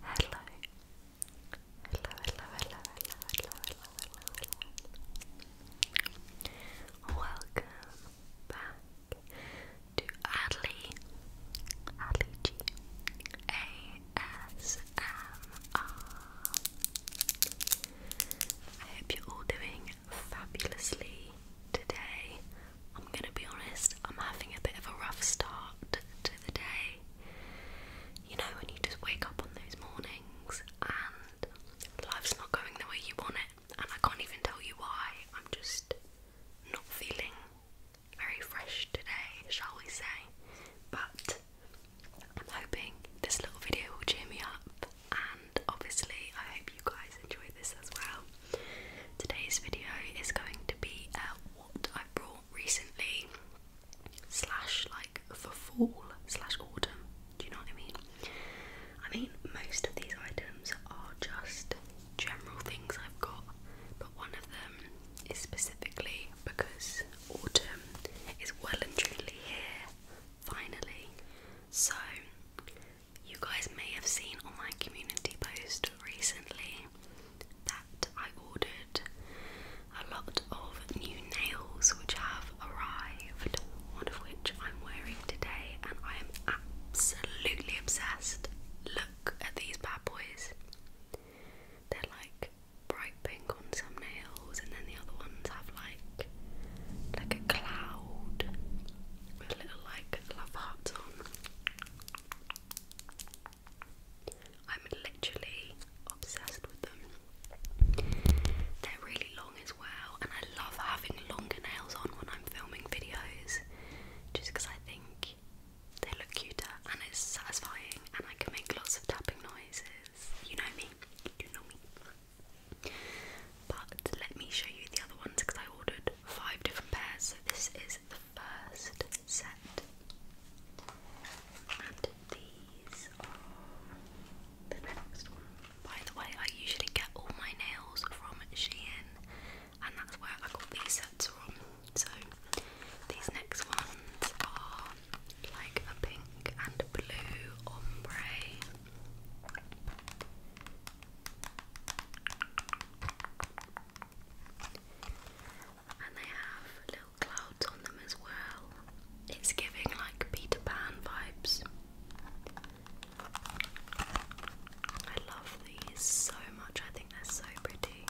Hello. Hello, hello, hello, hello, hello, hello, Welcome back to ASMR. I hope you're all doing fabulously today. I'm gonna be honest, I'm having a bit of a rough start to the day. You know, when you just wake up on those mornings and life's not going the way you want it, and I can't even tell you why. I'm just not feeling very fresh today, shall we say. But I'm hoping this little video will cheer me up, and obviously, I hope you guys enjoy this as well. Today's video is going to be uh, what I have brought recently, slash like for fall, slash autumn. Do you know what I mean? I mean, most of these items are just general things I've got, but one of them is specifically because autumn is well and truly here, finally. So, you guys may have seen on my community post recently that I ordered a lot of new nails which have arrived, one of which I'm wearing today, and I am absolutely obsessed. Look at these bad boys. They're like bright pink on some nails, and then the other ones have like like a cloud with little like love hearts on. I'm literally obsessed with them. They're really long as well, and I love having longer nails on when I'm filming videos just because I think they look cuter and it's satisfying, and I can make lots of tapping noises. You know me, you know me. But let me show you the other ones because I ordered five different pairs, so this is is the first set, and these are the next one. By the way, I usually get all my nails from Shein, and that's where I got these sets from. So these next ones are like a pink and blue ombre. And they have little clouds on them as well. It's giving like Peter Pan vibes. I love these so much, I think they're so pretty.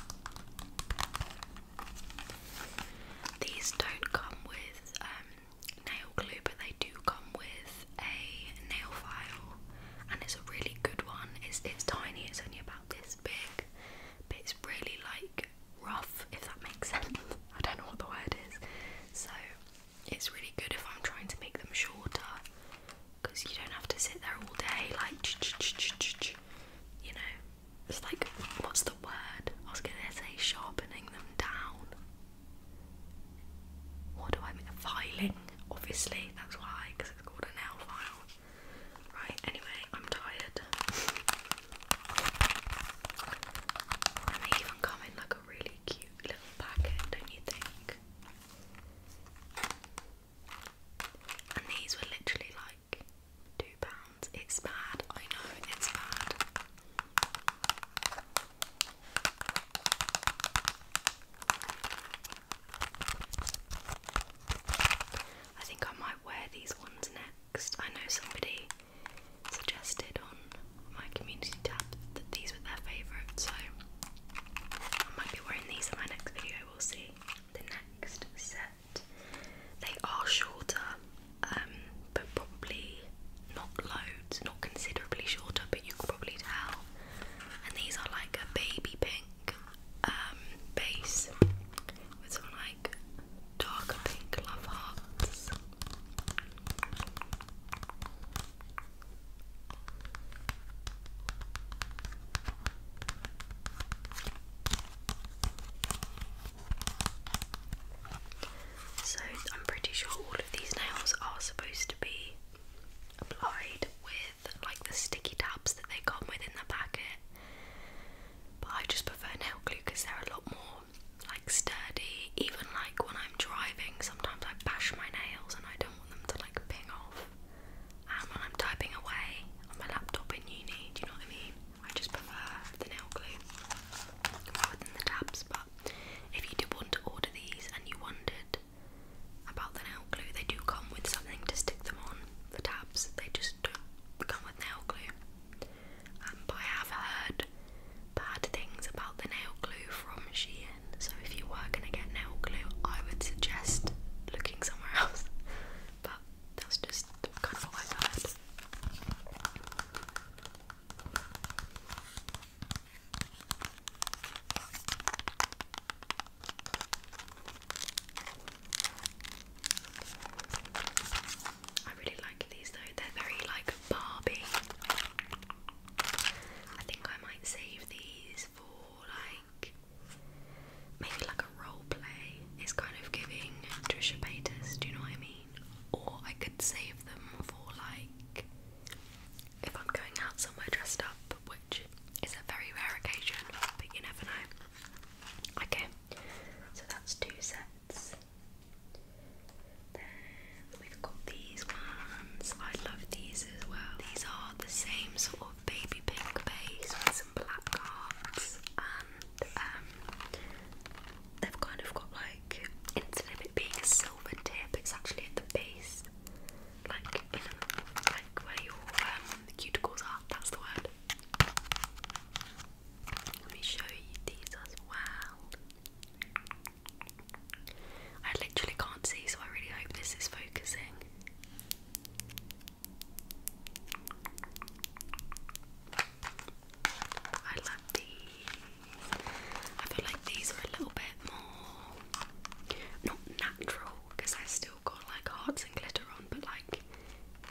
These don't come with um, nail glue, but they do come with with a nail file, and it's a really good one. It's it's tiny. It's only about this big, but it's really like rough, if that makes sense. I don't know what the word is. So it's really good if I'm trying to make them shorter, because you don't have to sit there all day like you know. It's like what's the word? I was gonna say sharpening them down. What do I mean? Filing, obviously. That's why, because it's Right, anyway, I'm tired. they even come in like a really cute little packet, don't you think? And these were literally like two pounds. It's bad, I know it's bad. I think I might wear these ones next. I know somebody suggested on my community tab that these were their favourite, so I might be wearing these in my next video. We'll see. The next set, they are shorter, um, but probably not loads, not considerably shorter, but you can probably tell and these are like a baby pink um, base with some like darker pink love hearts. So I'm pretty sure all of these nails are supposed to be applied with with like the sticky tabs that they come with in the packet. But I just prefer nail glue because they're a lot more like sturdy. Even like when I'm driving, sometimes I bash my nails and I don't want them to like ping off. And when I'm typing away on my laptop in uni, do you know what I mean? I just prefer the nail glue rather than the tabs. But if you do want to order these and you wondered about the nail glue. They do come with something to stick them on, the tabs, they just don't come with nail glue. and um, I have heard bad things about the nail glue from Shein, so if you were going to get nail glue, I would suggest looking somewhere else. But that's just kind of what i I really like these though, they're very like Barbie. I think I might save these for like maybe like a role play. It's kind of giving Trisha Paytas, do you know what I mean? Or I could save them for like if I'm going out somewhere dressed up, which is a very rare occasion, but you never know. Okay, so that's two sets. we've got these ones. I love these as well. These are the same sort of baby pink base with some black cards, and um, they've kind of got like instead of it being silver tip, it's actually at the base like like where your um, cuticles are. That's the word. Let me show you these as well. I literally can't see, so I really hope this is focusing. I love these. I feel like these are a little bit more not natural because I still got like hearts and glitter on, but like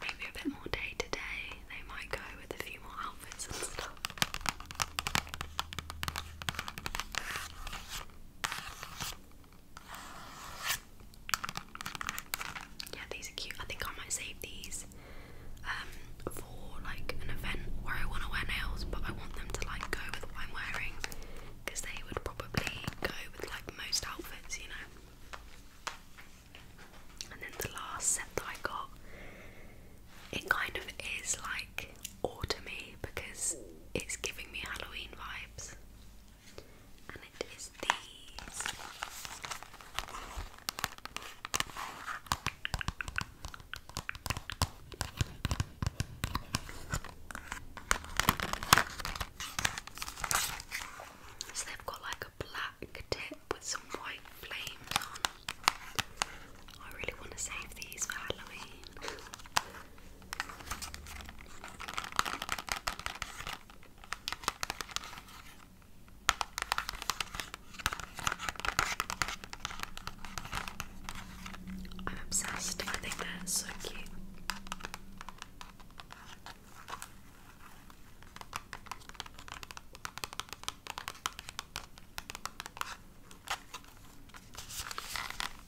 maybe a bit more day to day. They might go with a few more outfits and stuff. Yeah, these are cute. I think I might save these um, for like an event where I want to wear nails, but I want them to like go with what I'm wearing because they would probably go with like most outfits, you know. And then the last set that I got, it kind of is like autumny because it's giving me Halloween vibes, and it is these. So they've got like a black tip with some white flames on. I really want to save these for Halloween. I'm obsessed. I think that's so cute.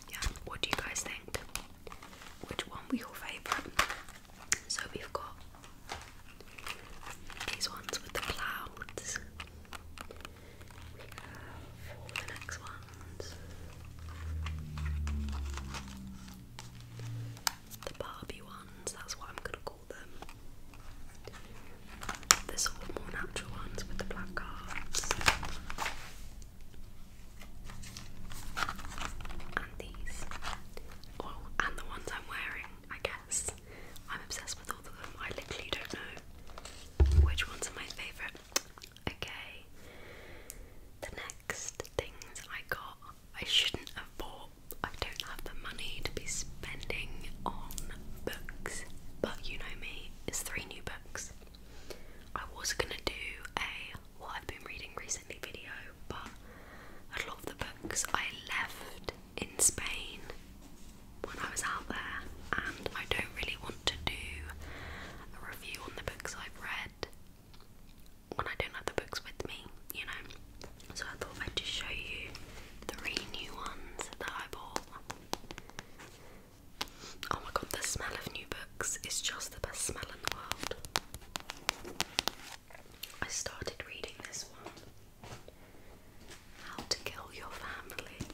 Yeah, what do you guys think? Which one was your favourite? So we've got these ones with the clouds. The Barbie ones, that's what I'm gonna call them. The sort of more natural ones with the black cards. And these. Oh, and the ones I'm wearing, I guess. I'm obsessed with all of them. I literally don't know which ones are my favourite. Okay. The next things I got, I shouldn't have bought. I don't have the money to be spending on books, but you know me, it's three new books. I was gonna do a what I've been reading recently video, but a lot of the books I left in Spain when I was out there, and I don't really want to do a review on the books I've read when I don't have the books with me, you know. So I thought I'd just show you three new ones that I bought. Oh my god, the smell of new books is just the best smell in the world. I started reading this one How to Kill Your Family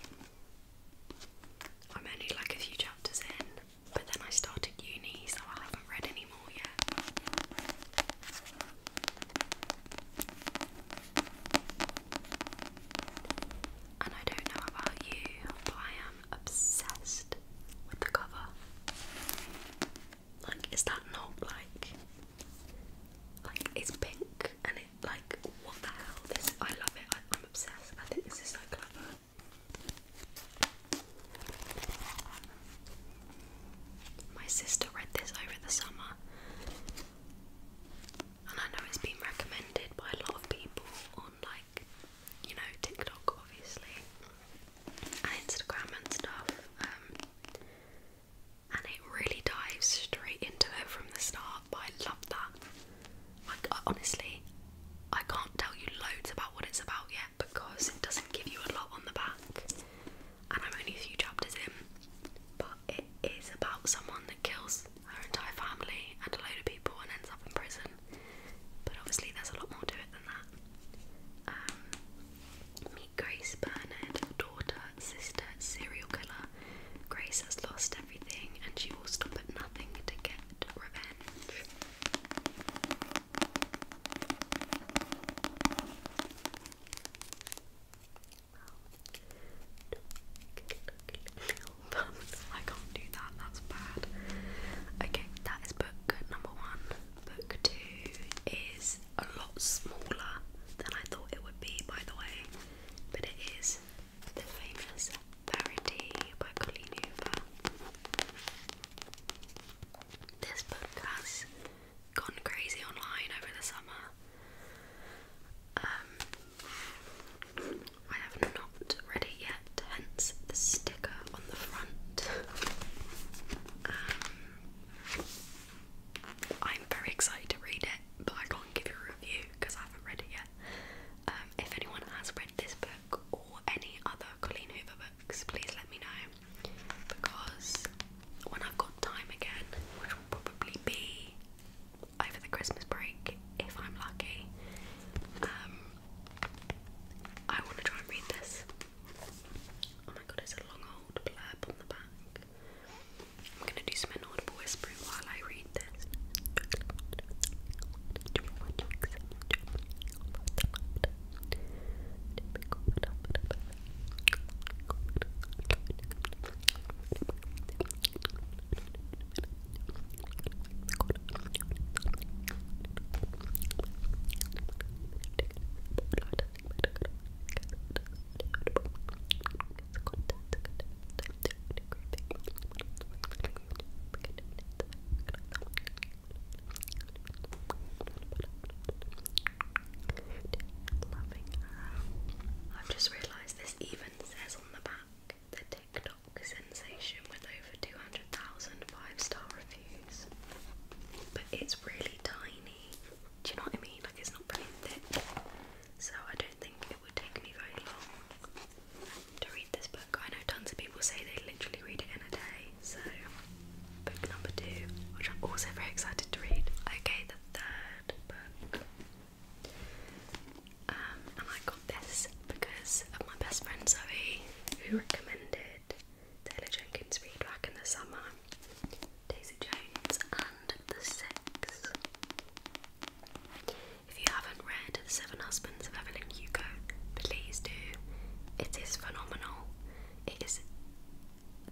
I'm only like a few chapters in, but then I started uni, so I haven't read any more yet. And I don't know about you, but I am obsessed with the cover. Like, is that not like, like it's pink and it like, what the hell? This I love it. I, am obsessed. I think this is so clever. My sister read this over the summer, and I know it's been recommended by a lot of people on, like, you know, TikTok, obviously, and Instagram and stuff. Um, and it really dives straight into it from the start, but I love that. Like, honestly, I can't tell you loads about what it's about yet because it doesn't give you a lot on the back, and I'm only a few chapters in. But it is about someone that kills her entire family and a load of people and ends up in prison. But obviously, there's a lot more to it than that. Um, meet Grace Bernard, daughter, sister, serial killer, Grace has lost everything and she will stop at nothing to get revenge. I can't do that, that's bad. Okay, that is book number one. Book two is a lot smaller than I thought it would be, by the way, but it is the famous Parody by Colleen Hoover. This book has gone crazy online over the summer. Um, I have not read it yet, hence the sticker on the front. Um, I'm very excited to read it, but I can't give you a review because I haven't read it yet here. Um, if anyone has read this book or any other Colleen Hoover books, please let me know because when I've got time again, which will probably be over the Christmas break if I'm lucky, um, I want to try and read this. Oh my god, it's a long old blurb on the back. I'm gonna do some inaudible whispering while I read this. Loving I've just realised this even says on the back the TikTok sensation with over 200,000 star reviews. But it's really tiny. Do you know what I mean? Like it's not really thick. So I don't think it would take me very long to read this book. I know tons of people say they literally read it in a day, so book number two, which I'm also very excited to read. Okay, the third book. Um, and I got this because of my best friend Zoe, who recommended Taylor Jenkins read back in the summer. Daisy Jones the If you haven't read The Seven Husbands of Evelyn Hugo, please do. It is phenomenal. It is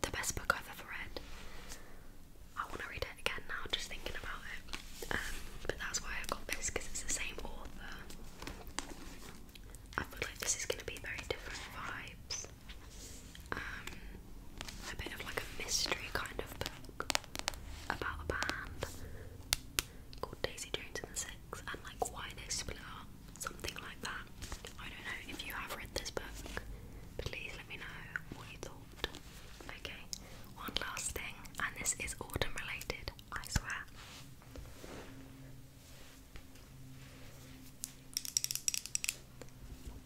the best book I've ever read. I want to read it again now, just thinking about it. Um, but that's why I got this because it's the same author. I feel like this is going to be very different vibes. Um, a bit of like a mystery kind of book about a band called Daisy Jones and the Six and like why they split something like that. I don't know if you have read this book, please let me know what you thought. Okay, one last thing, and this is autumn related, I swear.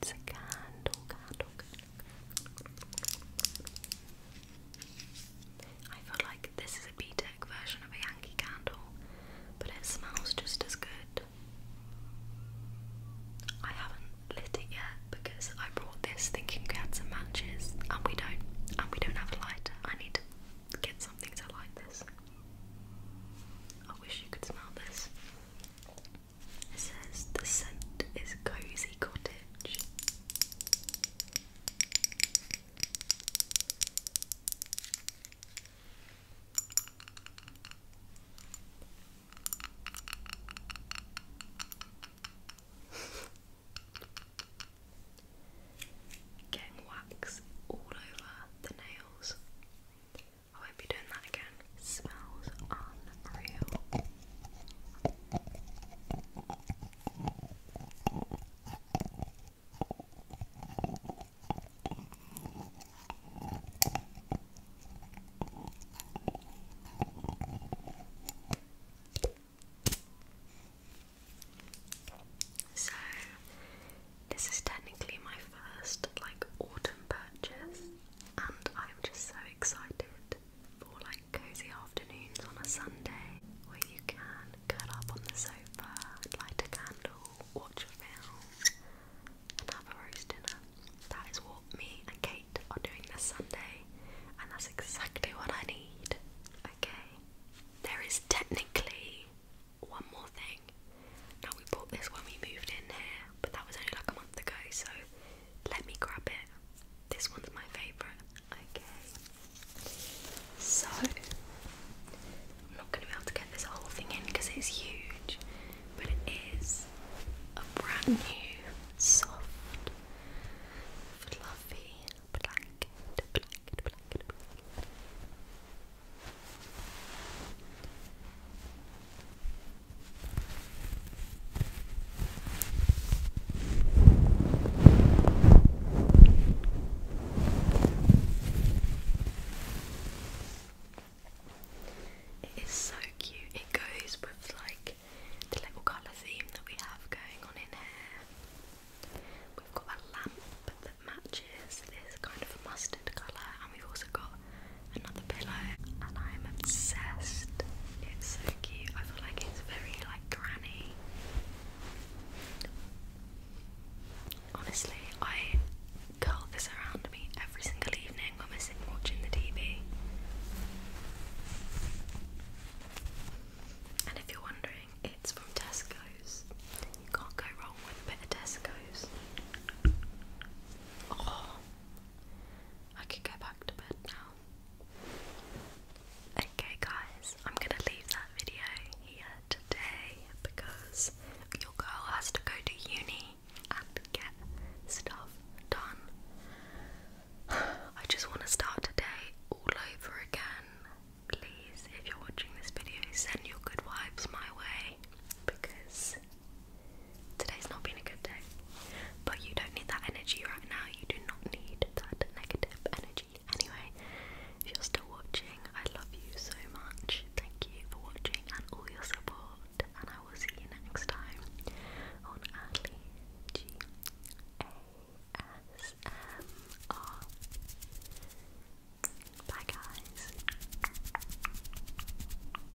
It's a candle, candle, I feel like this is a B-Tech version of a Yankee candle, but it smells just as good. I haven't lit it yet because I brought this thinking we had some matches, and we don't. And we don't have a lighter. I need to get something to light this. I wish you could smell this. It says the scent is cozy cottage. Getting wax all over the nails. I won't be doing that again. Smells unreal. So, this is technically my first like autumn purchase and I'm just so excited for like cozy afternoons on a Sunday where you can curl up on the sofa, light a candle, watch a film, and have a roast dinner. That is what me and Kate are doing this Sunday, and that's exactly what I need. Okay, there is technically one more thing. Now, we bought this when we moved in here, but that was only like a month ago, so let me grab it. This one's my favourite. Okay. So, I'm not going to be able to get this whole thing in because it's huge, but it is a brand new, soft, fluffy blanket. Blanket, blanket, blanket. It is so cute. It goes with like the little colour theme that we have going on in here. We've got a lamp that matches this kind of mustard colour, and we've also got another pillow and I'm obsessed. It's so cute. I feel like it's very like granny. Honestly, I curl this around me every single evening when we're sitting watching the TV. And if you're wondering, it's from Tesco's. You can't go wrong with a bit of Tesco's. Oh, I can go back to bed now. Okay, guys, I'm gonna leave that video here today because your girl has to go to uni and get stuff done. I just want to start today all over again. Please, if you're watching this video, send your good vibes my way because Today's not been a good day. But you don't need that energy right now. You do not need that negative energy. Anyway, if you're still watching, I love you so much. Thank you for watching and all your support. And I will see you next time on Adley G A S M R. Bye, guys.